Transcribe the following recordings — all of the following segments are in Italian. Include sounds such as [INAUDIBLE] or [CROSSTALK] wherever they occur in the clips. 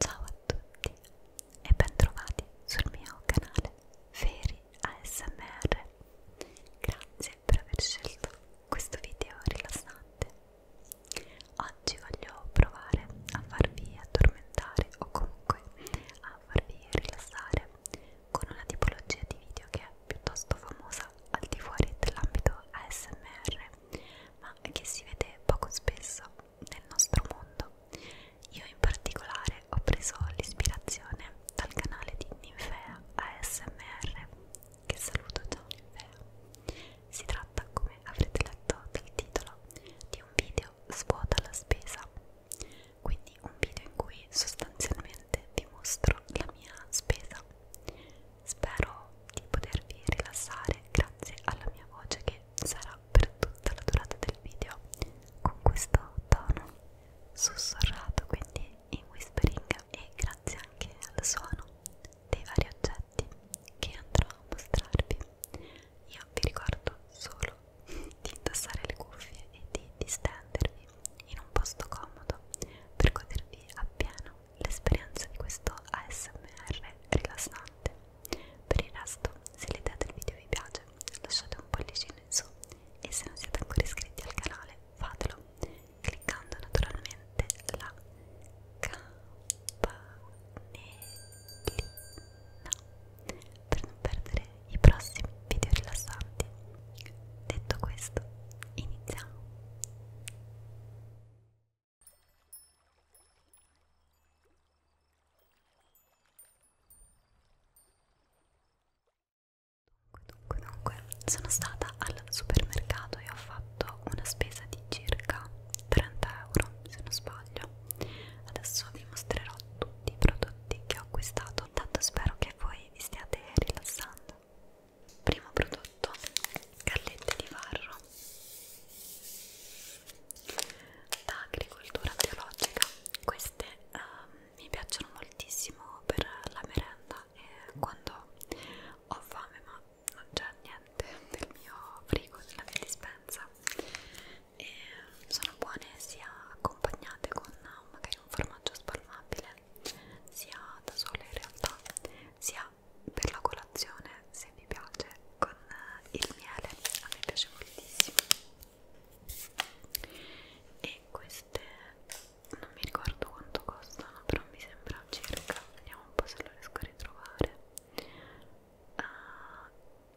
Ciao a tutti e bentrovati sul mio canale Feri ASMR. Grazie per aver scelto questo video rilassante. Oggi voglio provare a farvi addormentare o comunque a farvi rilassare con una tipologia di video che è piuttosto famosa al di fuori dell'ambito ASMR ma che si vede poco spesso nel nostro mondo. Io in particolare ho preso l'ispirazione dal canale di Ninfea ASMR, che saluto ciao Ninfea. Si tratta, come avrete letto dal titolo, di un video svuota la spesa, quindi un video in cui sostanzialmente vi mostro la mia spesa. Spero di potervi rilassare grazie alla mia voce che che sarà per tutta la durata del video con questo tono sussurrato quindi in whispering e grazie anche al suono dei vari oggetti che andrò a mostrarvi io vi ricordo solo di indossare le cuffie e di distendervi in un posto comodo per godervi appieno l'esperienza di questo ASMR rilassante. Per il resto, se l'idea del video vi piace, lasciate un pollicino in su e se non siete ancora iscritti al canale, fatelo cliccando naturalmente la campanellina per non perdere i prossimi video rilassanti. Detto questo, iniziamo! Dunque, dunque, sono stata al supermercato e ho fatto una spesa di circa 30 euro, se non sbaglio. Adesso vi mostrerò tutti i prodotti che ho acquistato, tanto spero che voi vi stiate rilassando. Primo prodotto, gallette di varro euro da agricoltura biologica queste uh, mi piacciono moltissimo per la merenda e quando ho fame ma non c'è niente nel mio frigo nella mia dispensa e sono buone sia accompagnate con magari un formaggio spalmabile sia da sole in realtà sia per la colazione se vi piace con eh, il miele a me piace moltissimo e queste non mi ricordo quanto costano però mi sembra circa vediamo un po' se lo riesco a ritrovare uh,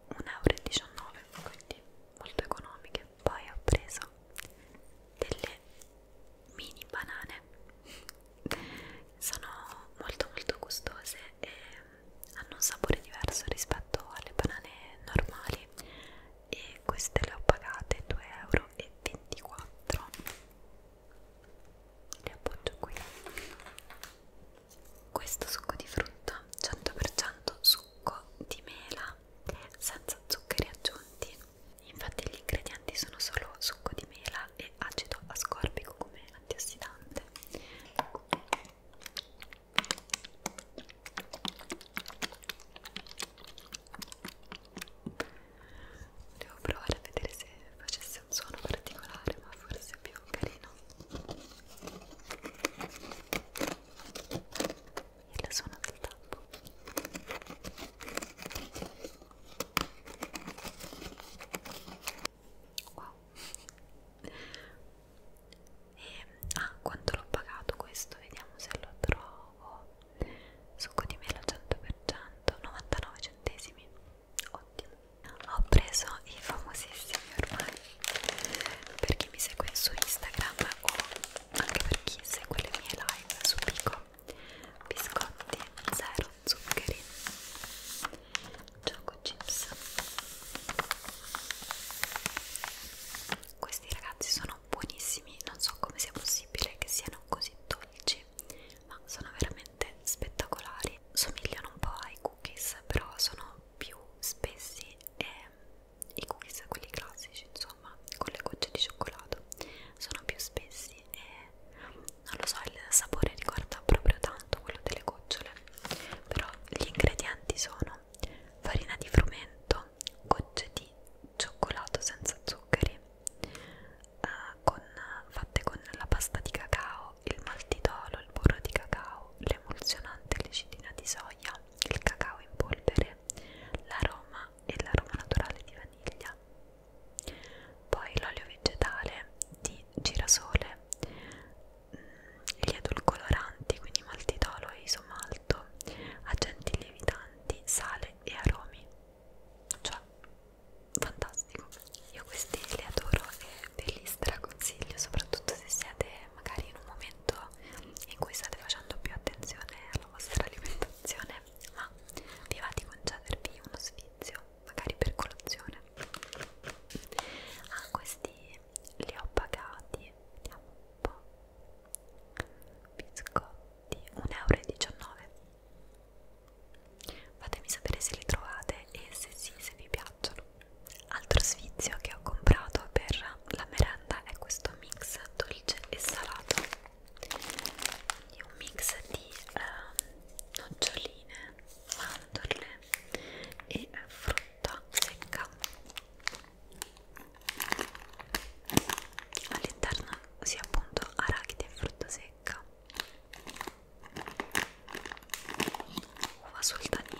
eh, 1,19 euro quindi molto economiche poi ho preso delle mini banane sono molto molto gustose e hanno un sapore diverso rispetto alle banane normali e queste le ho pagate 2,24 euro le appoggio qui questo succo di frutta 100% succo di mela senza zuccheri aggiunti Infatti gli ingredienti sono solo succo di mela e acido ascorbico come antiossidante. Devo provare a vedere se facesse un suono particolare, ma forse è più carino. Il suono del tappo wow [LAUGHS] e, ehm, ah quanto l'ho pagato questo vediamo se lo trovo succo di mela 100% 99 centesimi ottimo ho preso i famosissimi ormai per chi mi segue su Instagram o anche per chi segue le mie live su Pico biscotti, zero zuccheri, gioco chips. Questi ragazzi sono buonissimi, non so come sia possibile che siano così dolci, ma sono veramente spettacolari. Somigliano un po' ai cookies, però sono più spessi e i cookies, quelli classici, insomma, con le gocce di cioccolato, sono più spessi e non lo so, il sapore ricorda proprio tanto quello delle gocciole, però gli ingredienti sono farina di frumento, gocce di cioccolato senza zuccheri, eh, con, fatte con la pasta di cacao, il maltitolo, il burro di cacao, l'emulsionante, l'ecitina di soia, il cacao in polvere, l'aroma e l'aroma naturale di vaniglia poi l'olio vegetale di girasole mm, gli edulcoloranti quindi maltitolo e isomalto agenti lievitanti sale e aromi cioè fantastico io questi li adoro e ve li straconsiglio soprattutto se siete magari in un momento in cui state facendo più attenzione alla vostra alimentazione fare, ma vi va di concedervi uno sfizio, magari per colazione. Ah, questi li ho pagati, vediamo un po', biscotti, 1,19 euro. Fatemi sapere se li trovate e se sì, se vi piacciono. Altro sfizio che ho comprato per la merenda è questo mix dolce e salato è un mix di uh, noccioline, mandorle e frutta secca all'interno si sì, appunto arachidi e frutta secca uva sultanina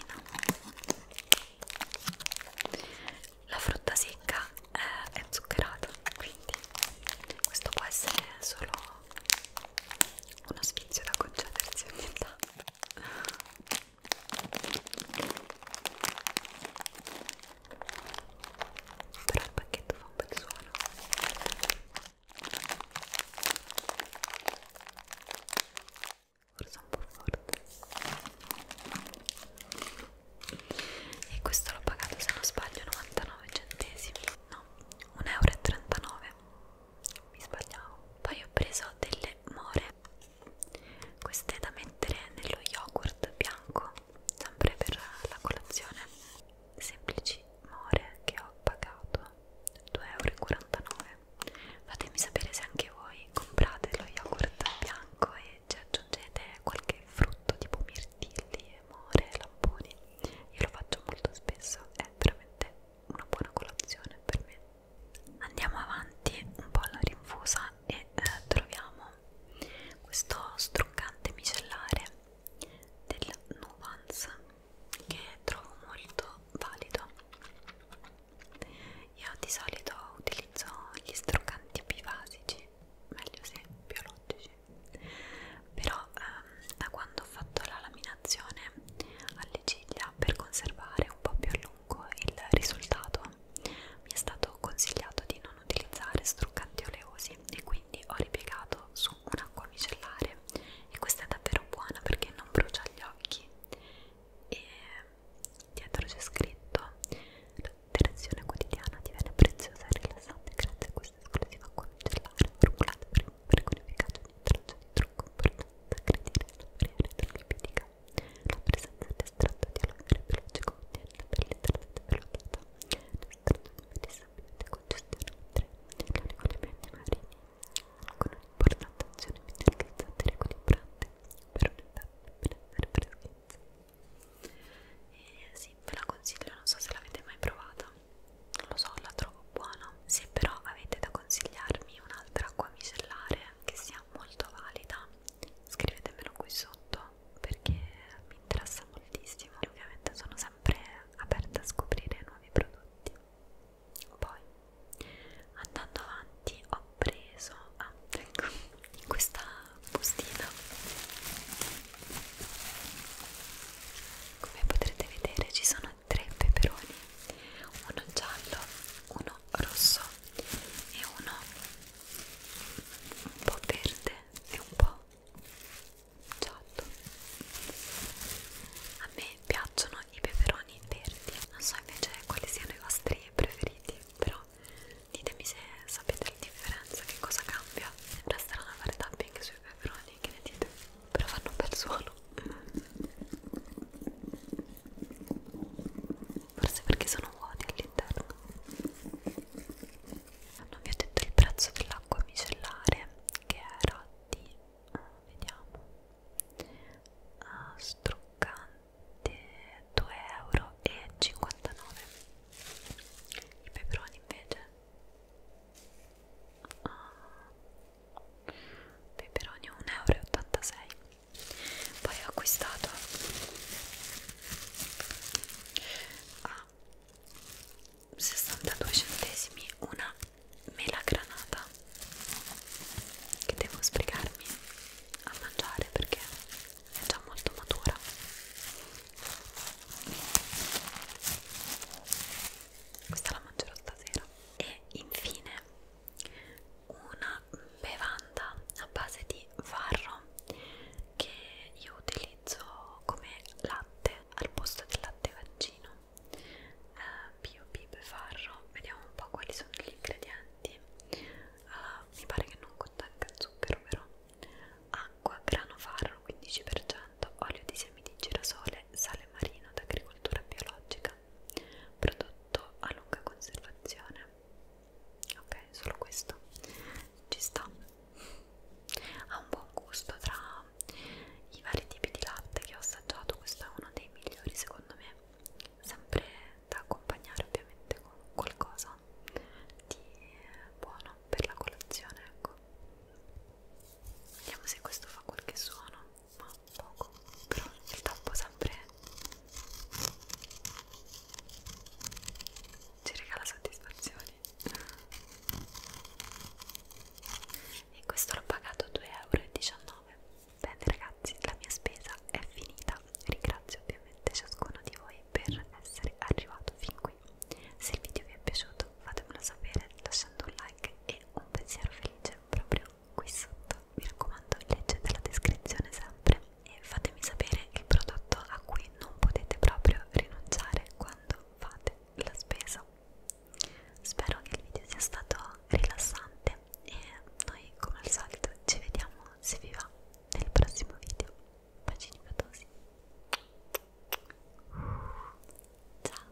la frutta secca eh, è zuccherata quindi questo può essere solo uno sfizio da concedersi ogni tanto però il pacchetto fa un bel suono forse un po' forte e questo l'ho pagato se non sbaglio 99 centesimi no 1,39 euro mi sbagliavo poi ho preso delle more queste da mettere nello yogurt bianco sempre per la colazione semplici more che ho pagato 2,49 euro fatemi sapere se anche voi comprate lo yogurt bianco e ci cioè, aggiungete qualche frutto tipo mirtilli, more, lamponi io lo faccio molto spesso è veramente una buona colazione per me andiamo avanti un po' alla rinfusa e eh, troviamo questo struccante micellare del Nuance che trovo molto valido io di solito utilizzo gli struccanti bivasici meglio se biologici però ehm, da quando ho fatto la laminazione alle ciglia per conservare un po' più a lungo il risultato mi è stato consigliato di non utilizzare struccanti oleosi e quindi ho ripiegato su un'acqua micellare e questa è davvero buona perché non brucia gli occhi e dietro c'è scritto Direzione quotidiana divenne preziosa e rilassante grazie a questa esclusiva acqua micellare formulata per, per con efficacia di traccia di trucco importante aggredire la barriera idrolipidica. La presenza dell'estratto di aloe vera veloce contiene la pelle idratata e velocata, l'estratto di medisamento e congestione, mentre l'oligolimenti marini con un'importante azione mineralizzante e riequilibrante per un'età di benessere freschezza e eh, sì, ve la consiglio, non so se l'avete mai provata lo so, la trovo buona se però avete da consigliarmi un'altra acqua micellare che sia molto valida scrivetemelo qui sotto perché mi interessa moltissimo e ovviamente sono sempre aperta a scoprire nuovi prodotti poi andando avanti ho ho preso ah, ecco, questa bustina come potrete vedere ci sono tre peperoni uno giallo uno rosso e uno un po' verde e un po' giallo a me piacciono i peperoni verdi non so invece quali siano i vostri preferiti però ditemi se sapete la differenza, che cosa cambia sembra strano fare tapping anche sui peperoni, che ne dite? però fanno un bel suono forse perché sono vuoti all'interno non vi ho detto il prezzo dell'acqua micellare che era di, vediamo, ah, struccante 2,59€ i peperoni invece uh, peperoni 1,86€ poi ho acquistato a 62 centesimi una mela granata che devo sbrigarmi a mangiare perché è già molto matura questa la mangerò stasera e infine una bevanda a base di farro che io utilizzo come latte al posto del latte vaccino bio, bio e farro vediamo un po' quali sono gli ingredienti uh, mi pare che non contenga zucchero però acqua, grano farro 15%, olio di semi di girasole, sale marino d'agricoltura biologica prodotto a lunga conservazione ok, solo questo ci sta ha un buon gusto tra i vari tipi di latte che ho assaggiato questo è uno dei migliori secondo me sempre da accompagnare ovviamente con qualcosa di buono per la colazione ecco vediamo se questo fa qualche suono ma poco però il tappo sempre ci regala soddisfazioni e questo l'ho pagato 2,19 euro Bene ragazzi, la mia spesa è finita. Ringrazio ovviamente ciascuno di voi per essere arrivato fin qui. Se il video vi è piaciuto fatemelo sapere lasciando un like e un pensiero felice proprio qui sotto. Mi raccomando, leggete la descrizione sempre e fatemi sapere il prodotto a cui non potete proprio rinunciare quando fate la spesa. Spero che il video sia stato rilassante niente e noi come al solito ci vediamo se vi va nel prossimo video bacini fatosi ciao